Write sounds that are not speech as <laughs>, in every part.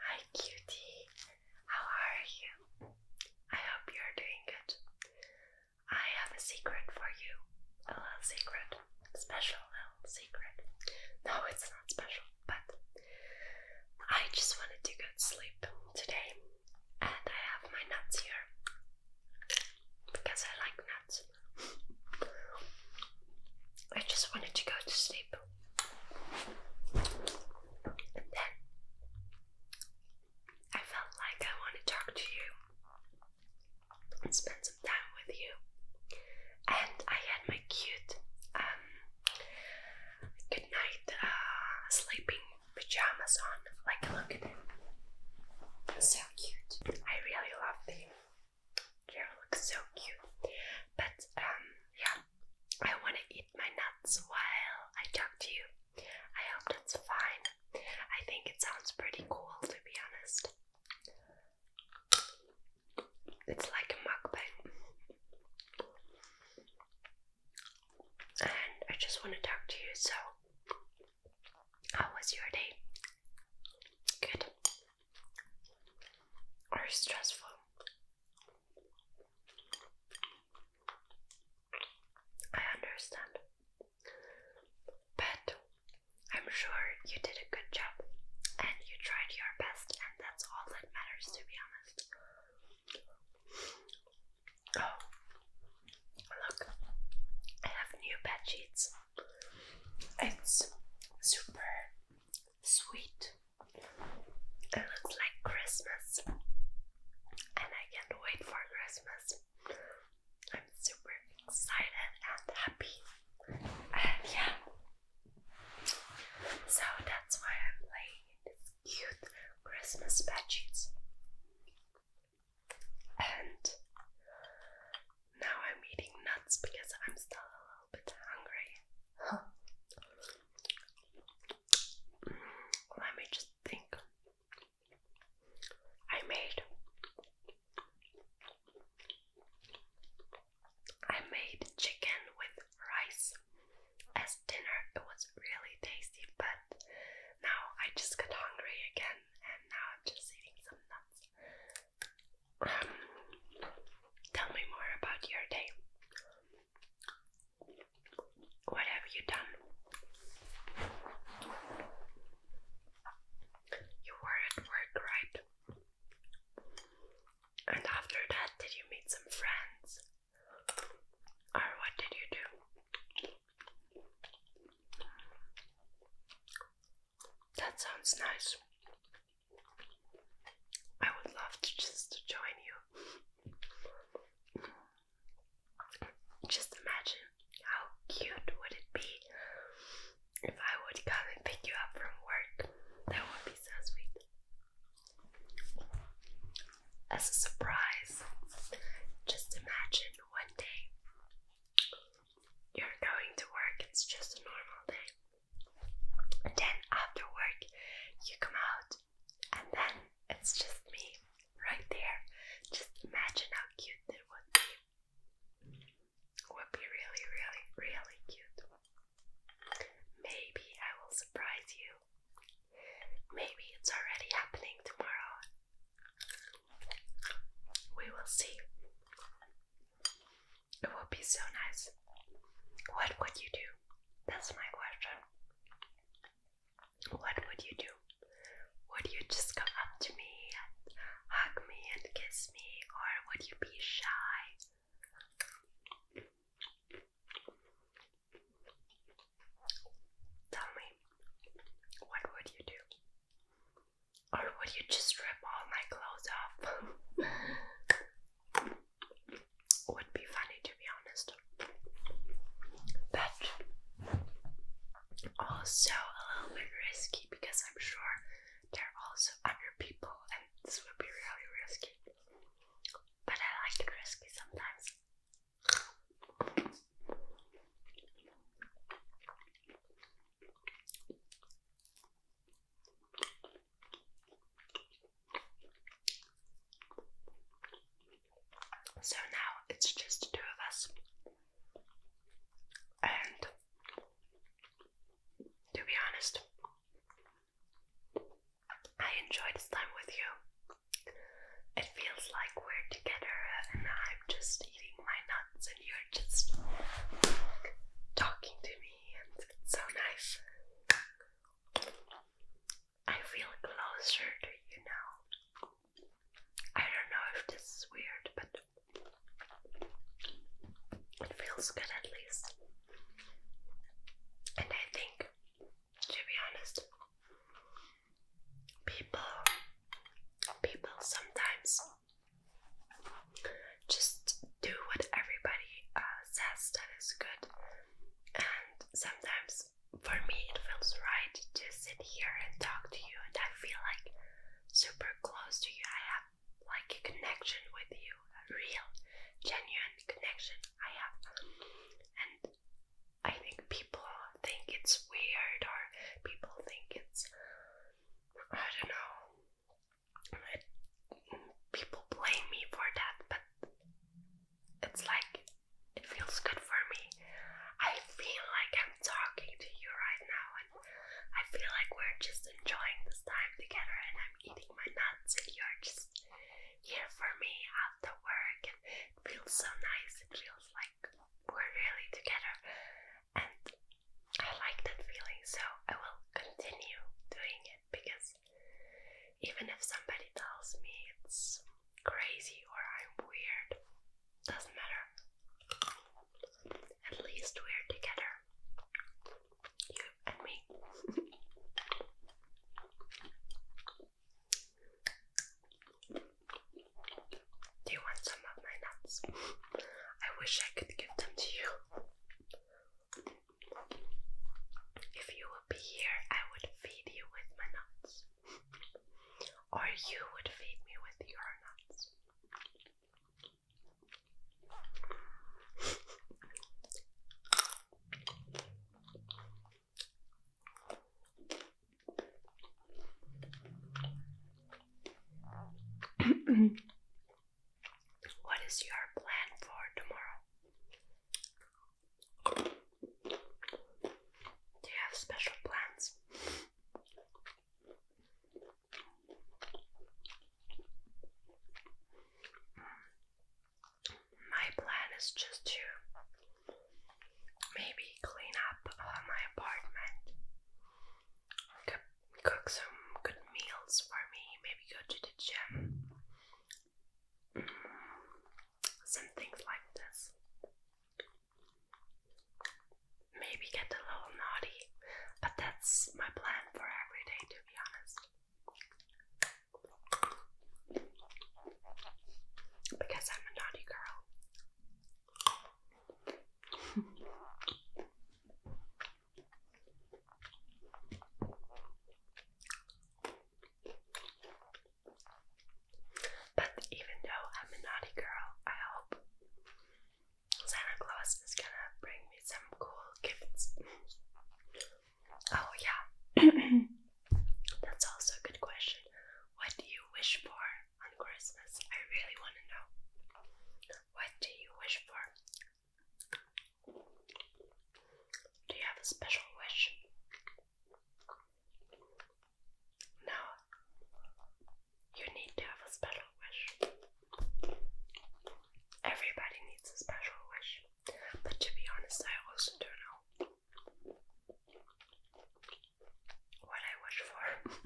Hi, cutie. How are you? I hope you're doing good. I have a secret for you. A little secret. special little secret. <laughs> No, it's not special, but I just wanted to go to sleep today and I have my nuts here because I like nuts. <laughs> I just wanted to go to sleep then I felt like I want to talk to you and spend some time with you. And I had my cute um, uh, sleeping pajamas on. Like, look at them. So cute. I really love them. You look so cute. But um, yeah, I want to eat my nuts while I talk to you. I hope that's fine. I think it sounds pretty cool, to be honest. It's like a mukbang. And I just want to talk to you, so how was your day? Good. Are stressful. I understand. But I'm sure you did a good job and you tried your best, and that's all that matters, to be honest. Oh, look, I have new bed sheets. It's super sweet. It looks like Christmas, and I can't wait for Christmas. I'm super excited and happy, and yeah. So that's why I'm playing cute Christmas badges. And now I'm eating nuts because I'm still little bit hungry. Huh. Let me just think. I made I made chicken with rice as dinner. It was really tasty, but now I just got hungry again and now I'm just eating some nuts tell me more about your day. What have you done? You were at work, right? And after that, did you meet some friends? Or what did you do? That sounds nice. I would love to just to join you. Just imagine how cute would it be if I would come and pick you up from work. That would be so sweet. As a surprise, just imagine one day you're going to work, it's just a normal day. Then after work, you come out, and then it's just me right there. Just imagine how cute that would be. would be really, really, really cute. Maybe I will surprise you. Maybe it's already happening tomorrow. We will see. It would be so nice. What would you do? That's my question. What would you do? Would you just come up to me and hug me and kiss me, or would you be shy? Tell me, what would you do? Or would you just rip all my clothes off? <laughs> would be funny to be honest. But also a little bit risky because I'm sure there are also other people and this would be really risky. But I like it risky sometimes. So now it's just two of us, and to be honest, I enjoy this time with you. It feels like we're together, and I'm just eating my nuts, and you're just talking to me, and it's so nice. I feel closer to you now. I don't know if this is weird, but it feels good at least. And I think, to be honest, people people sometimes just do what everybody uh, says that is good. And sometimes for me, it feels right to sit here and talk to you, and I feel like super close to you. I have like a connection with you, a real, genuine connection I have. And I think people think it's weird, or people think it's, I don't know, people blame me for that, but it's like it feels good for me. I feel like I'm talking to you right now, and I feel like we're just enjoying this time together. And I'm eating my nuts, and you're just here for me after work, and it feels so nice. It feels like we're really together, and I like that feeling. So I will continue doing it because even if somebody tells me it's crazy or I'm weird, doesn't matter. At least we're together, you and me. <laughs> Do you want some of my nuts? I wish I could give them to you. If you would be here, I would feed you with my nuts. or you would feed me with your nuts. What is your plan for tomorrow? Do you have special plans? My plan is just to maybe clean up uh, my apartment, cook some good meals for me, maybe go to the gym, some things like this. Maybe get a little naughty, but that's my plan for every day, to be honest. Because I'm a naughty girl. <laughs> But even though I'm a naughty girl, I hope Santa Claus is gonna bring me some cool gifts. oh, yeah. <clears throat> That's also a good question. What do you wish for on Christmas? I really want to know. What do you wish for? Do you have a special wish? No, you need to have a special wish. Everybody needs a special wish, but to be honest, I also don't know what I wish for. <laughs>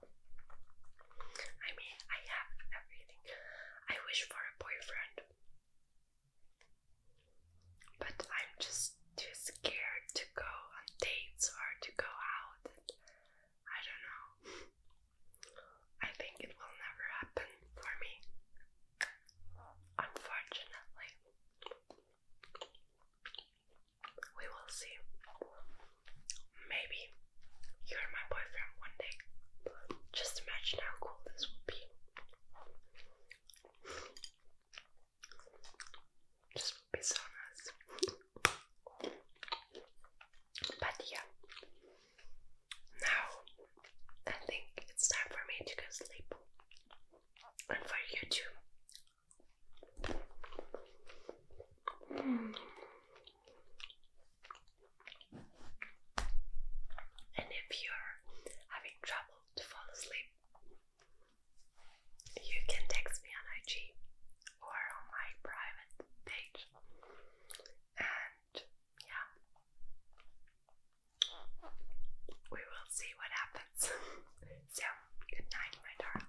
I mean, I have everything I wish for a boyfriend, but I'm just too scared to go on dates or to go out. I don't know. I think it will never happen for me, unfortunately. We will see. Maybe you're my boyfriend one day. Just imagine how cool this would be. This would be so nice. But yeah, now I think it's time for me to go sleep. And for you too. And if you're having trouble to fall asleep, you can text me on IG or on my private page. And yeah, we will see what happens. <laughs> so, good night, my darling.